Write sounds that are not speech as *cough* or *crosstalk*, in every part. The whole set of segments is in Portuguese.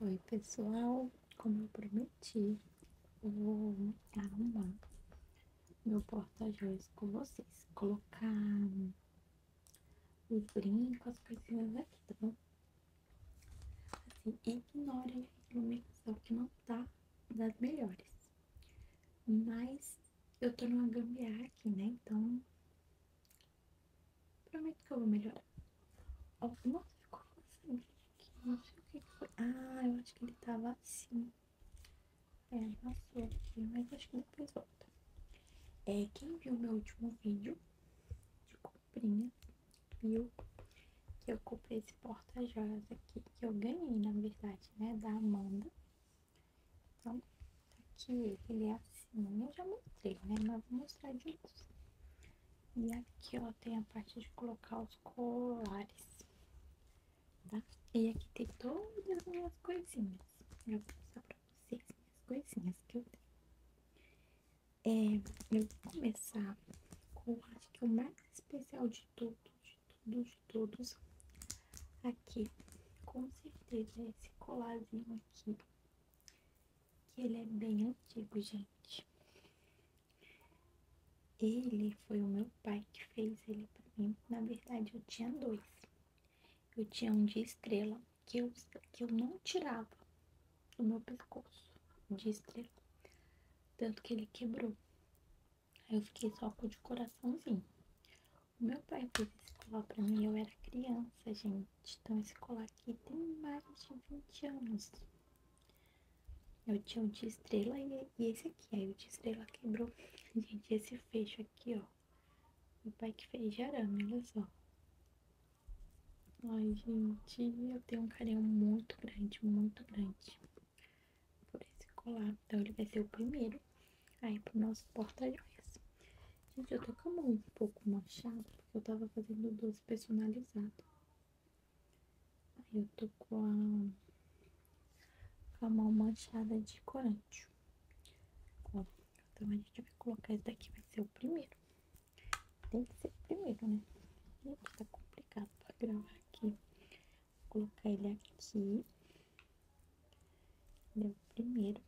Oi pessoal, como eu prometi, vou arrumar meu porta-joias com vocês, colocar os brincos, as coisinhas aqui, tá bom? Assim, ignorem a iluminação que não tá das melhores, mas eu tô numa gambiarra aqui, né, então Prometo que eu vou melhorar. nossa, ficou coçando Não sei o que, foi. Ah, eu acho que ele tava tá assim. É, passou aqui, mas acho que depois volta. É, quem viu meu último vídeo de comprinha, viu que eu comprei esse porta-joias aqui, que eu ganhei, na verdade, né, da Amanda. Então, tá aqui ele, ele é assim assim, eu já mostrei, né? Mas vou mostrar de novo. E aqui, ó, tem a parte de colocar os colares, tá? E aqui tem todas as minhas coisinhas. Eu vou mostrar pra vocês as coisinhas que eu tenho. É, eu vou começar com, acho que o mais especial de tudo, de tudo, de todos. Aqui, com certeza, é esse colarzinho aqui que ele é bem antigo, gente. Ele foi o meu pai que fez ele para mim. Na verdade, eu tinha dois. Eu tinha um de estrela que eu, que eu não tirava do meu pescoço de estrela. Tanto que ele quebrou. Aí eu fiquei só com o de coraçãozinho. O meu pai fez esse colar pra mim, eu era criança, gente. Então, esse colar aqui tem mais de 20 anos. Eu tinha um de estrela e, esse aqui. Aí o de estrela quebrou. *laughs* Gente, esse fecho aqui, ó. Meu pai que fez de arame, olha só. Ai, gente, eu tenho um carinho muito grande, muito grande por esse colar. Então, ele vai ser o primeiro aí pro nosso porta-joias. Gente, eu tô com a mão um pouco manchada, porque eu tava fazendo doce personalizado. Aí eu tô com a, com a mão manchada de corante. Ó, então a gente vai colocar esse daqui, vai ser o primeiro. Tem que ser o primeiro, né? Gente, tá complicado pra gravar aqui. Vou colocar ele aqui. Ele é o primeiro.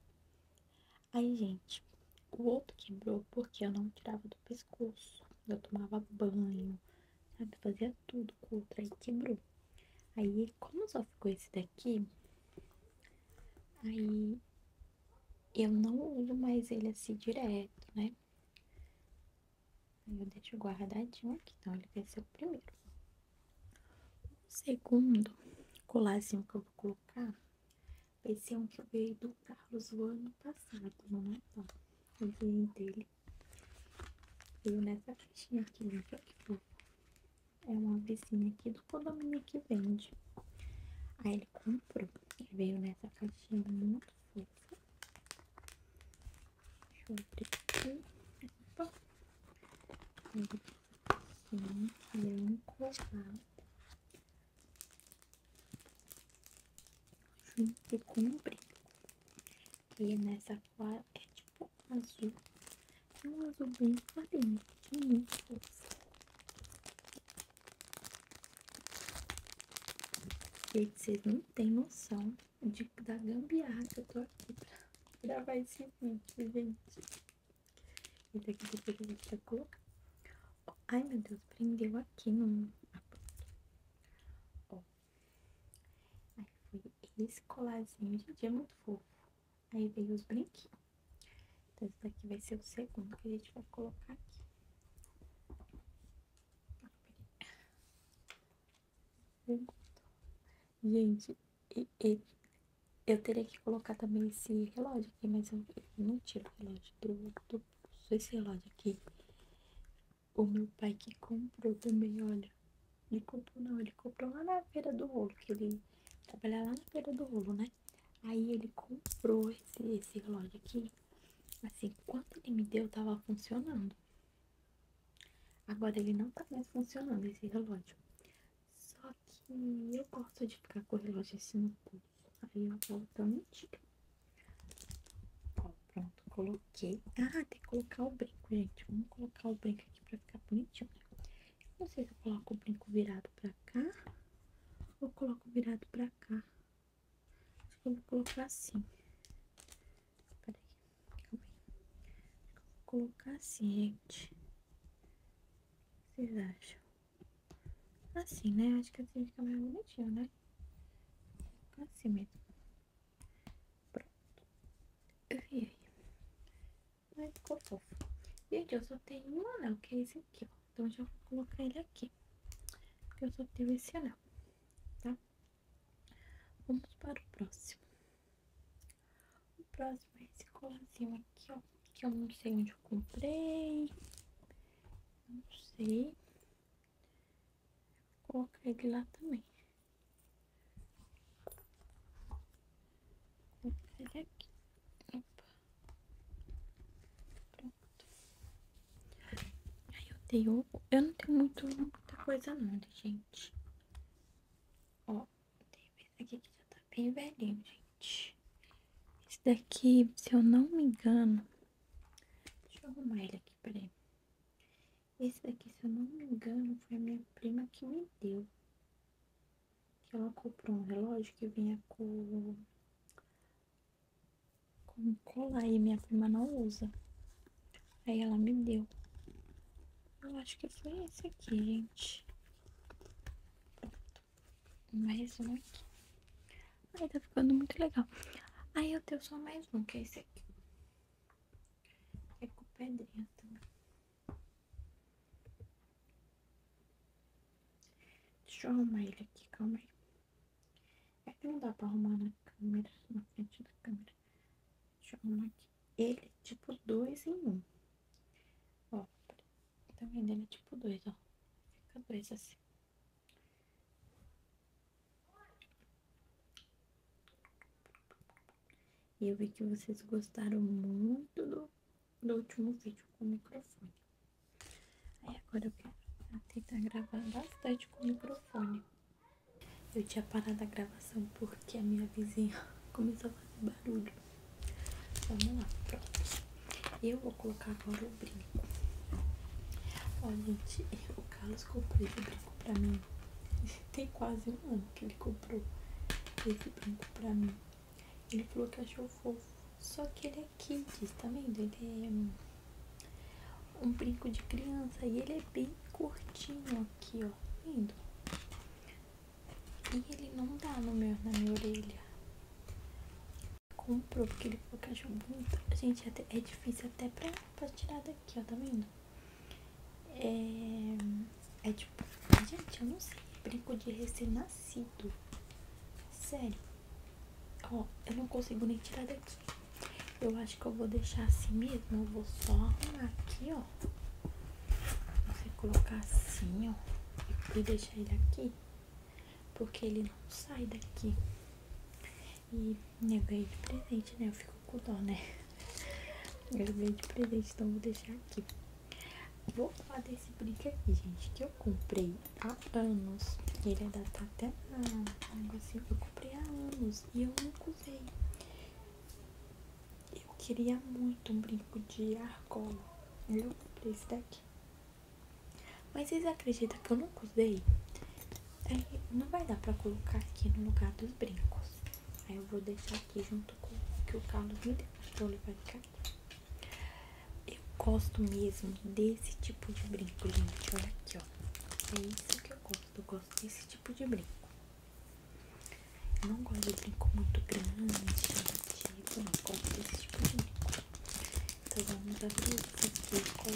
Aí, gente, o outro quebrou porque eu não tirava do pescoço. Eu tomava banho, sabe? Fazia tudo com o outro. Aí quebrou. Aí, como só ficou esse daqui, aí eu não uso mais ele assim direto, né? Aí eu deixo guardadinho aqui. Então, ele vai ser o primeiro. O segundo colarzinho que eu vou colocar esse é um que veio do Carlos o ano passado, no Natal. É, eu ganhei dele. Veio nessa caixinha aqui, né? É uma vizinha aqui do condomínio que vende. Aí ele comprou. Ele veio nessa caixinha muito fofa. Deixa eu abrir aqui. Opa. Ele assim, ele é um colar junto com o E nessa cor é tipo azul. É um azul bem clarinho, de muito Gente, vocês não têm noção de, da gambiarra que eu tô aqui pra gravar esse vídeo, gente. Esse aqui vou pegar pra colocar. ai, meu Deus, prendeu aqui no... Ó. Aí foi esse colarzinho, de é muito fofo. Aí veio os brinquinhos. Então, esse daqui vai ser o segundo que a gente vai colocar aqui. Gente, e, eu teria que colocar também esse relógio aqui, mas eu não tiro o relógio do, do pulso. Esse relógio aqui, o meu pai que comprou também, olha. Ele comprou não, ele comprou lá na feira do rolo, que ele trabalha lá na feira do rolo, né? Aí ele comprou esse, relógio aqui. Assim, quando ele me deu, tava funcionando. Agora ele não tá mais funcionando, esse relógio. Só que eu gosto de ficar com o relógio assim no pulso Aí eu volto a mentira. Ó, pronto, coloquei. Ah, tem que colocar o brinco, gente. Vamos colocar o brinco aqui pra ficar bonitinho, Não sei se eu coloco o brinco virado pra cá ou coloco virado pra cá. Acho que eu vou colocar assim. Peraí, calma aí. Vou colocar assim, gente. O que vocês acham? Assim, né? Acho que assim fica mais bonitinho, né? Assim mesmo. Pronto. E aí? Mas ficou fofo. Gente, eu só tenho um anel, que é esse aqui, ó. Então, já vou colocar ele aqui. Porque eu só tenho esse anel, tá? Vamos para o próximo. O próximo é esse colarzinho aqui, ó que eu não sei onde eu comprei. Não sei. Vou colocar ele lá também. Vou colocar ele aqui. Opa. Pronto. Aí eu tenho. Eu não tenho muito, muita coisa não, gente. Ó, tem esse aqui que já tá bem velhinho, gente gente. Esse daqui, se eu não me engano. Deixa eu arrumar ele aqui, peraí. Esse daqui, se eu não me engano, foi a minha prima que me deu. Que ela comprou um relógio que vinha com. com colar e minha prima não usa. Aí ela me deu. Eu acho que foi esse aqui, gente. Mais um é aqui. Ai, tá ficando muito legal. Aí eu tenho só mais um, que é esse aqui. É com pedrinha também. Deixa eu arrumar ele aqui, calma aí. É que não dá pra arrumar na câmera, na frente da câmera. Deixa eu arrumar aqui. Ele tipo dois em um. Ó, também tá vendendo é tipo dois, ó. Fica dois assim. E eu vi que vocês gostaram muito do, último vídeo com o microfone. Aí agora eu quero tentar gravar bastante com o microfone. Eu tinha parado a gravação porque a minha vizinha *laughs* começou a fazer barulho. Vamos lá, pronto. Eu vou colocar agora o brinco. Ó, gente, o Carlos comprou esse brinco pra mim. *laughs* Tem quase um ano que ele comprou esse brinco pra mim. Ele falou que achou fofo. Só que ele é kids, tá vendo? Ele é um, brinco de criança e ele é bem curtinho aqui, ó. Tá vendo? E ele não dá no meu, na minha orelha comprou, porque ele falou que achou Gente, é, difícil até pra, pra tirar daqui, ó, tá vendo? É, é tipo, gente, eu não sei, brinco de recém-nascido. Sério. Ó, eu não consigo nem tirar daqui. Eu acho que eu vou deixar assim mesmo. Eu vou só arrumar aqui, ó. Você colocar assim, ó. E deixar ele aqui. Porque ele não sai daqui. E eu ganhei de presente, né? Eu fico com dó, né? Eu *laughs* ganhei de presente, então vou deixar aqui. Vou falar desse brinco aqui, gente, que eu comprei há anos. Ele é da até na negocinho. Eu comprei há anos e eu nunca usei. Eu queria muito um brinco de argola. Eu comprei esse daqui. Mas vocês acreditam que eu nunca usei? não vai dar pra colocar aqui no lugar dos brincos. Aí eu vou deixar aqui junto com o que o Carlos me deu. Então ele vai ficar aqui. Eu gosto mesmo desse tipo de brinco, gente. Olha aqui, ó. É isso que eu gosto. Eu gosto desse tipo de brinco. Eu não gosto de brinco muito grande, chamativo. Não gosto desse tipo de brinco. Então vamos abrir isso aqui com.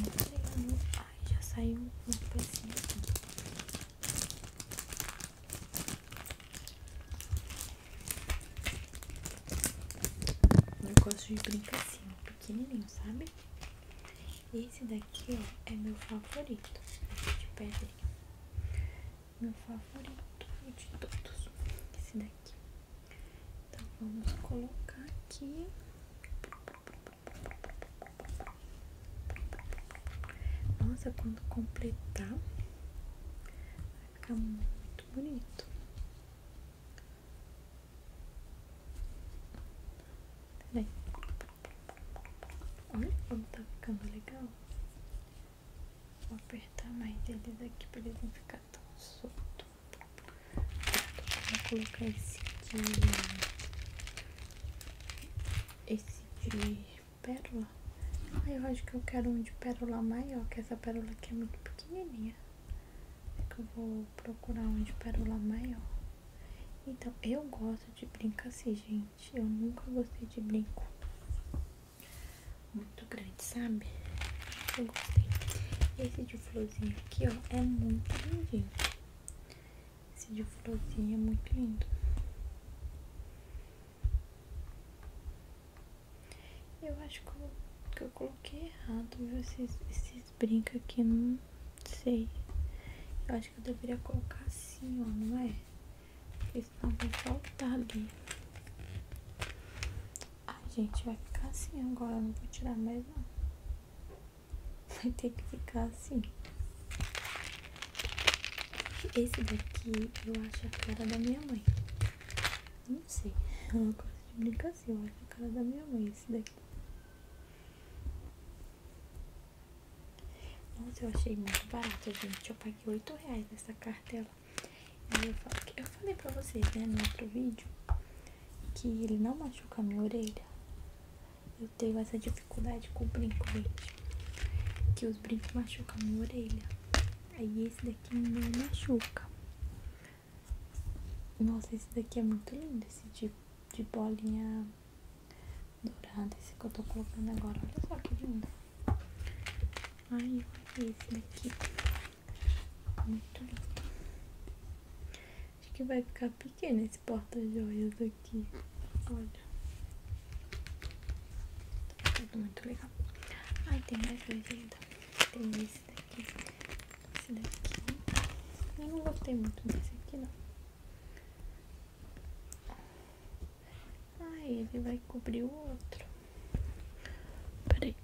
Entregando. Ai, já saiu um pedacinho aqui. Eu gosto de brincar assim, ó, pequenininho, sabe? Esse daqui, ó, é meu favorito. De pedrinha meu favorito de todos, esse daqui. Então vamos colocar aqui. Nossa, quando completar, vai ficar muito bonito. Peraí. Olha como tá ficando legal. Vou apertar mais eles aqui para ele não ficar tão solto. Vou colocar esse de. Esse de pérola. Ah, eu acho que eu quero um de pérola maior, que essa pérola aqui é muito pequenininha. É eu vou procurar um de pérola maior. Então, eu gosto de brincar assim, gente. Eu nunca gostei de brinco muito grande, sabe? Eu gostei. Esse de florzinha aqui, ó, é muito lindinho. Esse de florzinha é muito lindo. Eu acho que eu, coloquei errado, viu? Esses, esses brincos aqui, não sei. Eu acho que eu deveria colocar assim, ó, não é? questão vai faltar ali. Ai, gente, vai ficar assim agora. Não vou tirar mais, não. Vai ter que ficar assim. Esse daqui eu acho a cara da minha mãe. Não sei. É uma coisa de brincadeira. Eu acho a cara da minha mãe esse daqui. Nossa, eu achei muito barato, gente. Eu paguei 8 reais nessa cartela eu, falei pra vocês, né, no outro vídeo, que ele não machuca a minha orelha. Eu tenho essa dificuldade com o brinco, gente. Que os brincos machucam a minha orelha. Aí esse daqui não machuca. Nossa, esse daqui é muito lindo, esse tipo de bolinha dourada, esse que eu tô colocando agora. Olha só que lindo. Ai, olha esse daqui. Muito lindo. Acho que vai ficar pequeno esse porta-joias aqui. Olha. Tá tudo muito legal. Ai, tem mais dois ainda. Tem esse daqui. Esse daqui. Eu não gostei muito desse aqui, não. Aí ele vai cobrir o outro. Peraí.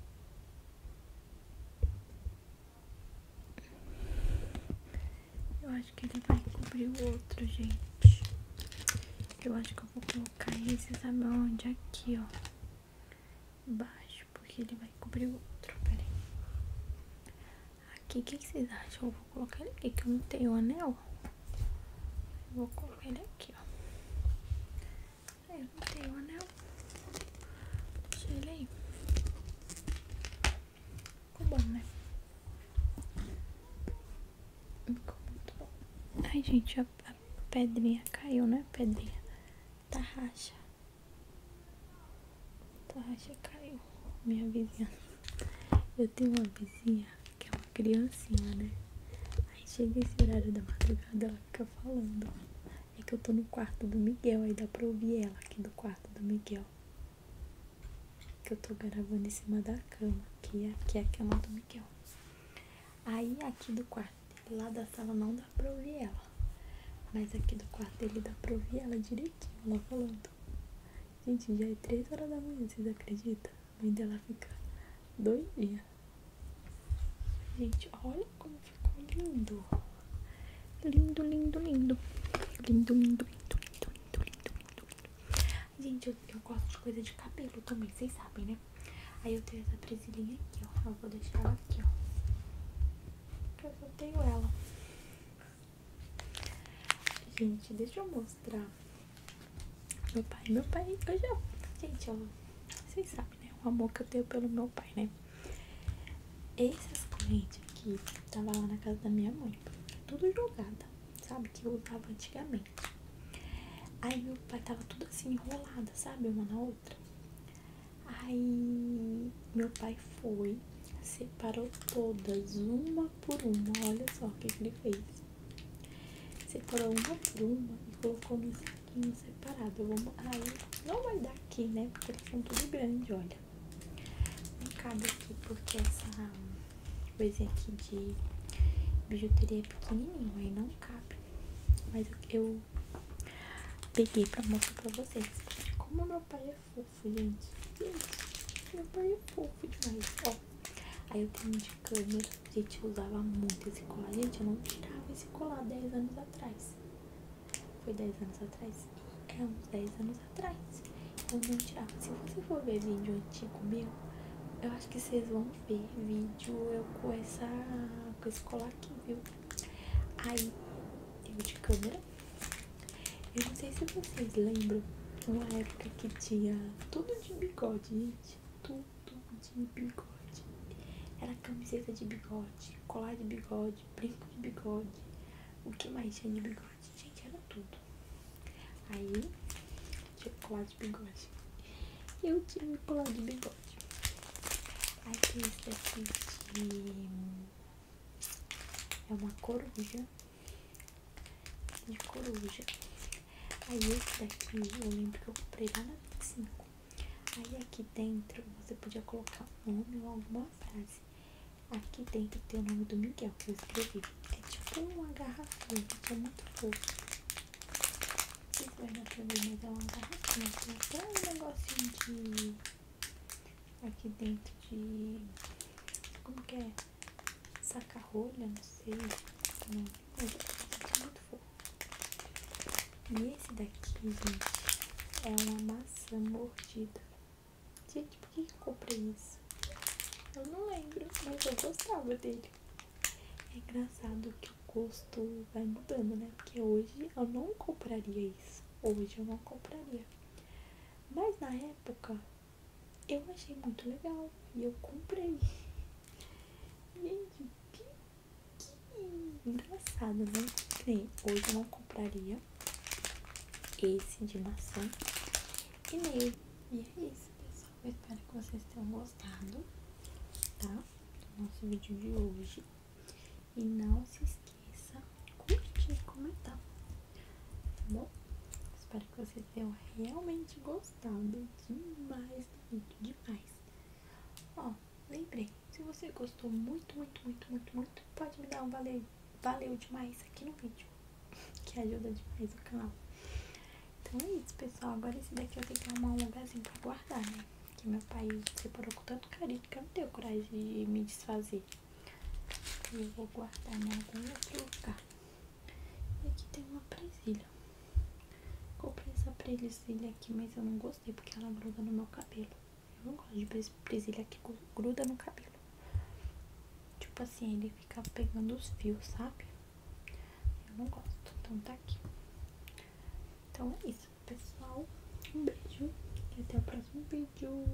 Eu acho que ele vai cobrir o outro, gente. Eu acho que eu vou colocar esse, sabe onde? Aqui, ó. baixo, porque ele vai cobrir o outro. Peraí. Aqui, o que, que vocês acham? Eu vou colocar ele aqui, que eu não tenho anel. Vou colocar ele aqui, ó. Aí eu não tenho o anel. Deixa ele aí. Ficou bom, né? Ai, gente, a, pedrinha caiu, né? A pedrinha. Tá racha. Tá racha caiu. Minha vizinha. Eu tenho uma vizinha que é uma criancinha, né? Aí chega esse horário da madrugada, ela fica falando. É que eu tô no quarto do Miguel, aí dá pra ouvir ela aqui do quarto do Miguel. Que eu tô gravando em cima da cama, que é, que é a cama do Miguel. Aí aqui do quarto lá da sala, não dá pra ouvir ela. Mas aqui do quarto dele dá pra ouvir ela direitinho, ela falando. Gente, já é três horas da manhã, vocês acreditam? vendo ela ficar doidinha. Gente, olha como ficou lindo. Lindo, lindo, lindo. Lindo, lindo, lindo, lindo, lindo, lindo, lindo. Gente, eu, gosto de coisa de cabelo também, vocês sabem, né? Aí eu tenho essa presilhinha aqui, ó. Eu vou deixar ela aqui, ó. Porque eu só tenho ela. Gente, deixa eu mostrar meu pai, meu pai, eu já, gente, ó vocês sabem, né? O amor que eu tenho pelo meu pai, né? Esses clientes aqui, tava lá na casa da minha mãe, tudo jogada, sabe? Que eu tava antigamente. Aí meu pai tava tudo assim enrolada, sabe? Uma na outra. Aí meu pai foi, separou todas, uma por uma. Olha só o que ele fez. Separou uma pluma e colocou no saquinho separado. vamos vou... Aí ah, não vai dar aqui, né? Porque eles são tudo grande, olha. Não cabe aqui porque essa coisinha aqui de bijuteria é pequenininho, aí não cabe. Mas eu peguei pra mostrar pra vocês. Como meu pai é fofo, gente. Gente, meu pai é fofo demais. Ó, Aí eu tenho de câmera, gente, eu usava muito esse colar. Gente, eu não tirava esse colar 10 anos atrás. Foi 10 anos atrás? É, uns 10 anos atrás. Eu não tirava. Se você for ver vídeo antigo meu, eu acho que vocês vão ver vídeo eu com, essa, com esse colar aqui, viu? Aí, eu de câmera. Eu não sei se vocês lembram uma época que tinha tudo de bigode, gente. Tudo de bigode. Era camiseta de bigode, colar de bigode, brinco de bigode. O que mais tinha de bigode? Gente, era tudo. Aí, tinha colar de bigode. Eu tive colar de bigode. Aí tem esse aqui É uma coruja. De coruja. Aí esse daqui eu lembro que eu comprei lá na 25. Aí aqui dentro você podia colocar um nome ou alguma frase. Aqui dentro tem o nome do Miguel que eu escrevi. É tipo uma garrafa que é muito fofo. Se vai na primeira, mas é uma garrafinha. Tem até um negocinho de. Aqui dentro de. Como que é? Saca-rolha, não sei esse muito fofo. E esse daqui, gente, é uma maçã mordida. Gente, por que eu comprei isso? Eu não lembro, mas eu gostava dele. É engraçado que o gosto vai mudando, né? Porque hoje eu não compraria isso. Hoje eu não compraria. Mas na época eu achei muito legal e eu comprei engraçado, né? Que hoje não compraria esse de maçã e é isso, pessoal. Eu espero que vocês tenham gostado, tá? Do nosso vídeo de hoje. E não se esqueça curte e comentar, tá bom? Espero que vocês tenham realmente gostado demais do vídeo, demais. Ó, lembrei, se você gostou muito, muito, muito, muito, muito, pode me dar um valeu, valeu demais aqui no vídeo, que ajuda demais o canal. Então é isso, pessoal. Agora esse daqui eu tenho que arrumar um lugarzinho pra guardar, né? Que meu pai separou com tanto carinho que eu não tenho coragem de me desfazer. Eu vou guardar em algum outro lugar. E aqui tem uma presilha. Comprei essa presilha aqui, mas eu não gostei porque ela gruda no meu cabelo. Eu não gosto de presilha que gruda no cabelo. Tipo assim, ele fica pegando os fios, sabe? Eu não gosto, então tá aqui. Então é isso, pessoal. Um beijo e até o próximo vídeo.